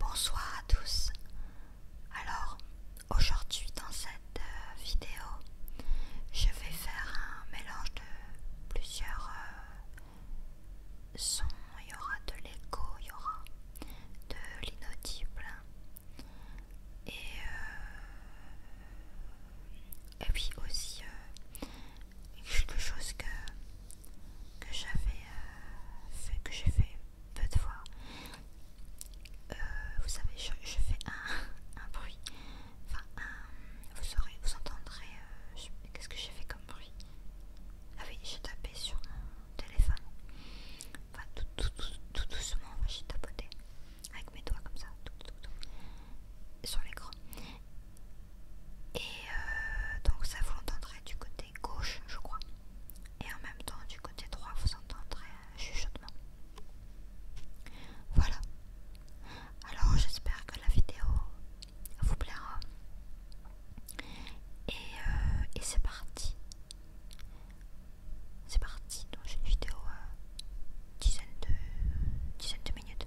Bonsoir à tous. Alors, aujourd'hui dans cette euh, vidéo, je vais faire un mélange de plusieurs euh, sons, il y aura de l'écho, il y aura de l'inaudible. Et, euh, puis aussi euh, quelque chose que, j'avais fait, que j'ai fait peu de fois. vous savez, je, fais un bruit Enfin, euh, vous saurez, vous entendrez. Euh, qu'est-ce que j'ai fait comme bruit Ah oui, j'ai tapé sur mon téléphone. Enfin, tout, doucement, j'ai tapoté avec mes doigts comme ça, tout, sur l'écran. Et euh, donc, ça vous l'entendrez du côté gauche, je crois. Et en même temps, du côté droit, vous entendrez un chuchotement. Voilà, alors j'espère que la vidéo vous plaira. Et, euh, c'est parti. C'est parti. Donc j'ai une vidéo euh, de, minutes.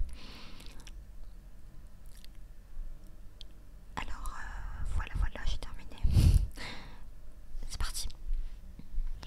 Alors euh, voilà, voilà, j'ai terminé. c'est parti.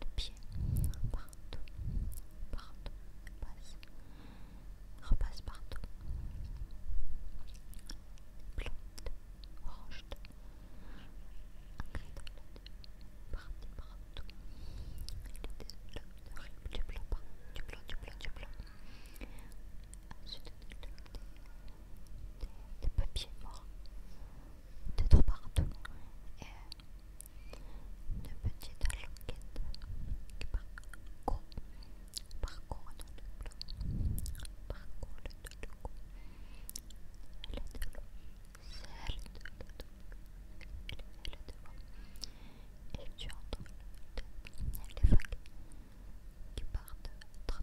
de pied partout, partout, repasse, repasse partout. blanc orange, partout. Il du blanc, du blanc, du blanc, du blanc. des, papier des morts d'être partout et une petites qui parcourt, par contre le par le de elle est de l'eau, de et tu entends les vagues qui partent très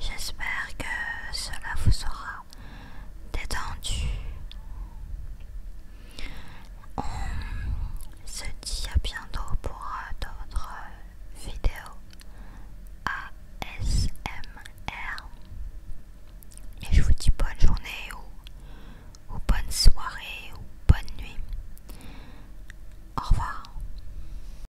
J'espère que cela vous aura détendu. On se dit à bientôt pour d'autres vidéos ASMR. Et je vous dis bonne journée ou bonne soirée ou bonne nuit. Au revoir.